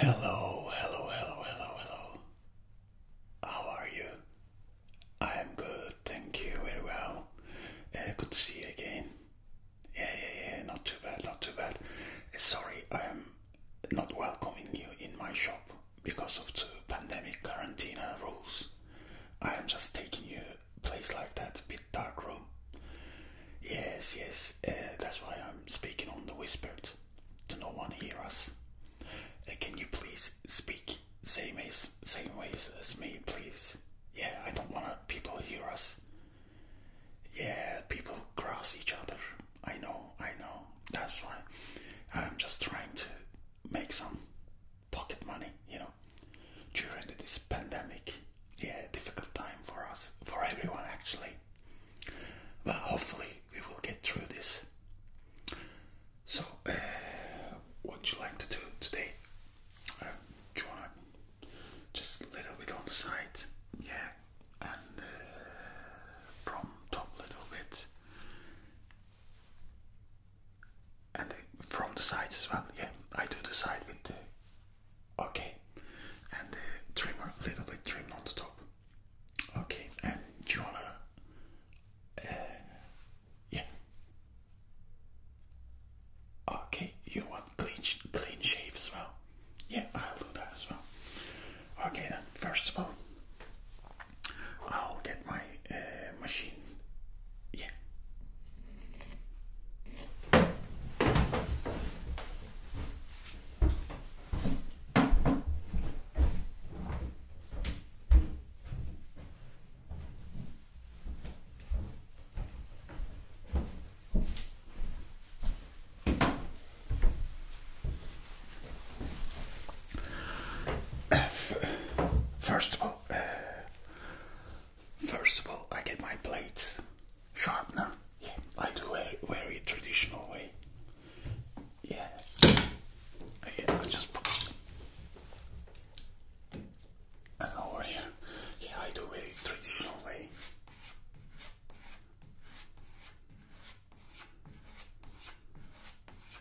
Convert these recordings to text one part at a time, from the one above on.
Hello, hello, hello, hello, hello. How are you? I am good, thank you, very well. Uh, good to see you again. Yeah, yeah, yeah, not too bad, not too bad. Uh, sorry, I am not welcoming you in my shop because of the pandemic quarantine rules. I am just taking you a place like that, a bit dark room. Yes, yes, uh, that's why I'm speaking on the whispered, to no one hear us. Uh, can you please speak same as same ways as me, please? Yeah, I don't want people hear us. Yeah, people cross each other. I know, I know. That's why I'm just trying to make some pocket money, you know, during this pandemic. Yeah, difficult time for us, for everyone actually. But hopefully we will get through this. So, uh, what would you like to do today? Uh, just a little bit on the side? Yeah, and uh, from top little bit and from the sides as well. Yeah, I do the side with the okay, and the trimmer a little bit trimmed on the top. Okay, and do you wanna? Uh, yeah. Okay, you want clean clean shave as well. Yeah, I'll do that as well. Okay, then first of all, I'll get my uh, machine. Yeah. First of all, first of all, I get my blades sharpener. Yeah, I do a very traditional way. Yeah, yeah I just put and over here. Yeah, I do very traditional way.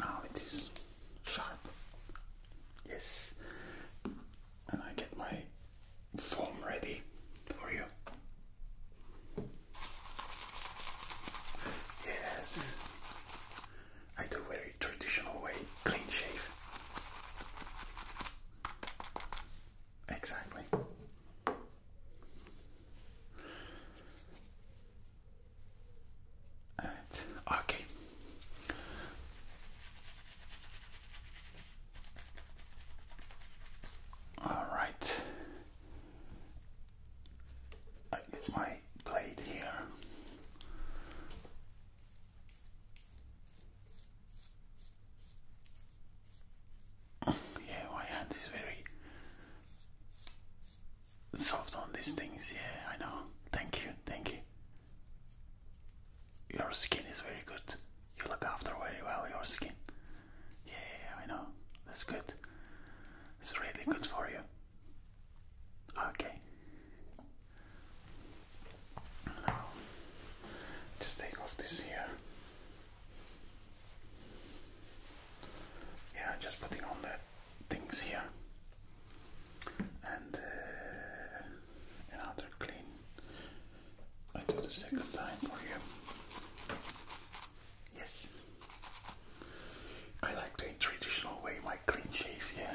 Now oh, it is sharp. Yes. And I get my foam ready for you. Yes. I do very traditional way, clean shave. Exactly. Okay. All right. I get my blade here. yeah, my hand is very soft on these things. Yeah, I know. Thank you, thank you. Your skin is very good. You look after very well your skin. Yeah, I know. That's good. It's really good for you. Okay. Now, just take off this here. Yeah, just putting on the things here and uh, another clean. I do the second time for you. Yes. I like the traditional way, my clean shave, yeah.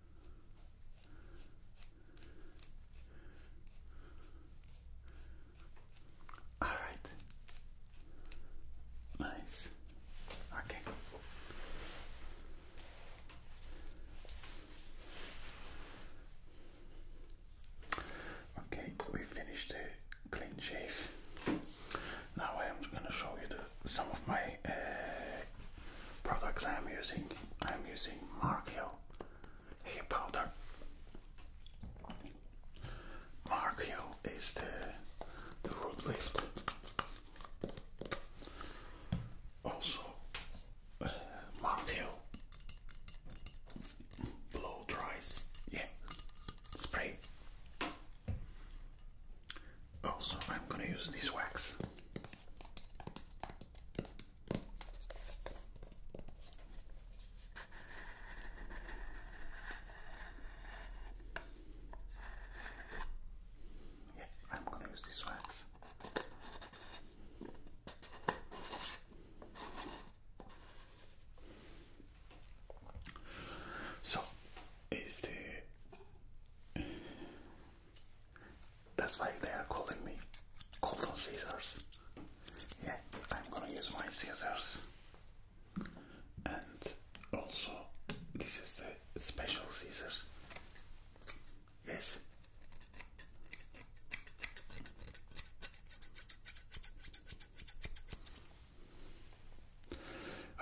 All right. Nice. Okay. Okay, we finished the clean shave. Now I am going to show you some of my uh, products I'm using. I'm using Mark Hill powder. Mark is the, the root lift. Also, uh, blow dries, yeah, spray. Also, I'm gonna use this wax. Yeah, I'm going to use these wax. So, is the that's why they are calling me golden scissors. Yeah, I'm gonna use my scissors. And also, this is the special scissors. Yes.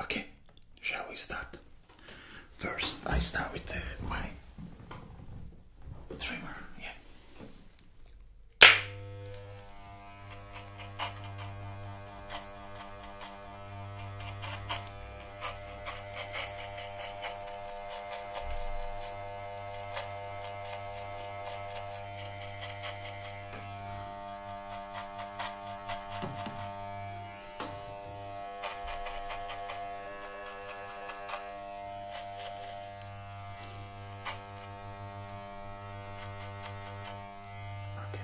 Okay, shall we start? First, I start with uh, my trimmer. Yeah. Okay.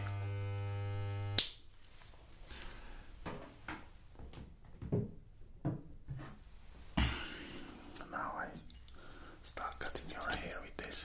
Now I start cutting your hair with this.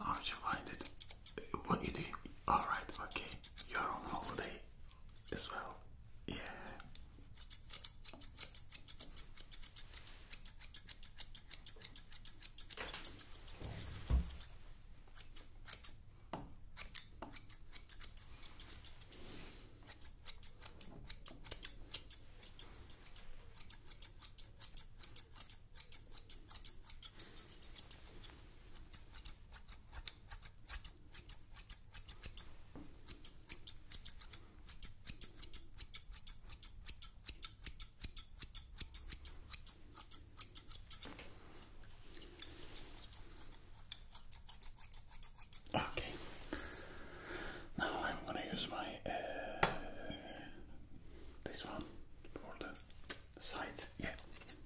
How do you find it? What you do? Alright, okay. You're on holiday as well. Yeah. Okay. Now I'm going to use my uh, this one for the side. Yeah.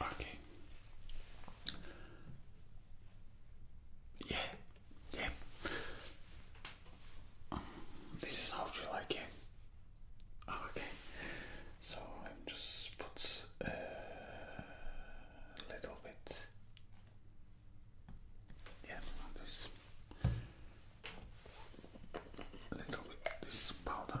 Okay. Yeah, yeah. this is how you like it. Oh, okay. So i just put a uh, little bit. Yeah, this little bit this powder.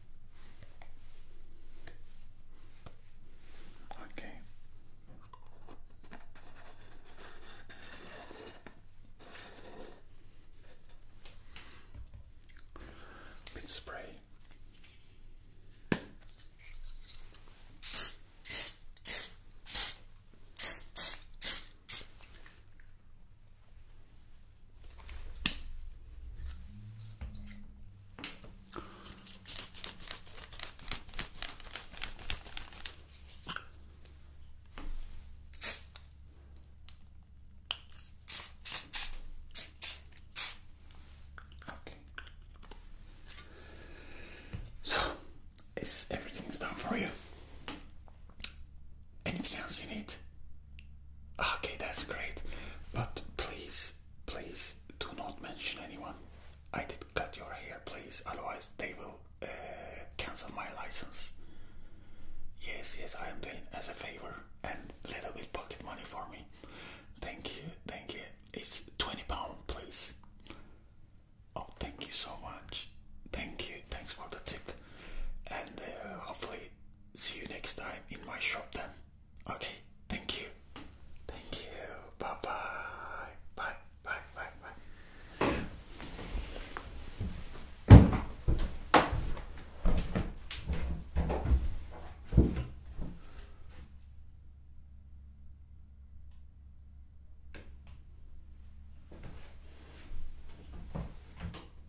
Okay. Bit spray. Okay. So, is everything's done for you? Anything else you need? Okay, that's great. But please, please do not mention anyone. I did cut your hair, please. Otherwise, they will uh, cancel my license. Yes, yes, I am doing as a favor and little bit pocket money for me. Thank you, thank you. It's twenty pound, please. Oh, thank you so much. Thank you. Thanks for the tip. And uh, hopefully see you next time in my shop then. Okay, thank you. Thank you. Bye bye. Bye bye bye bye.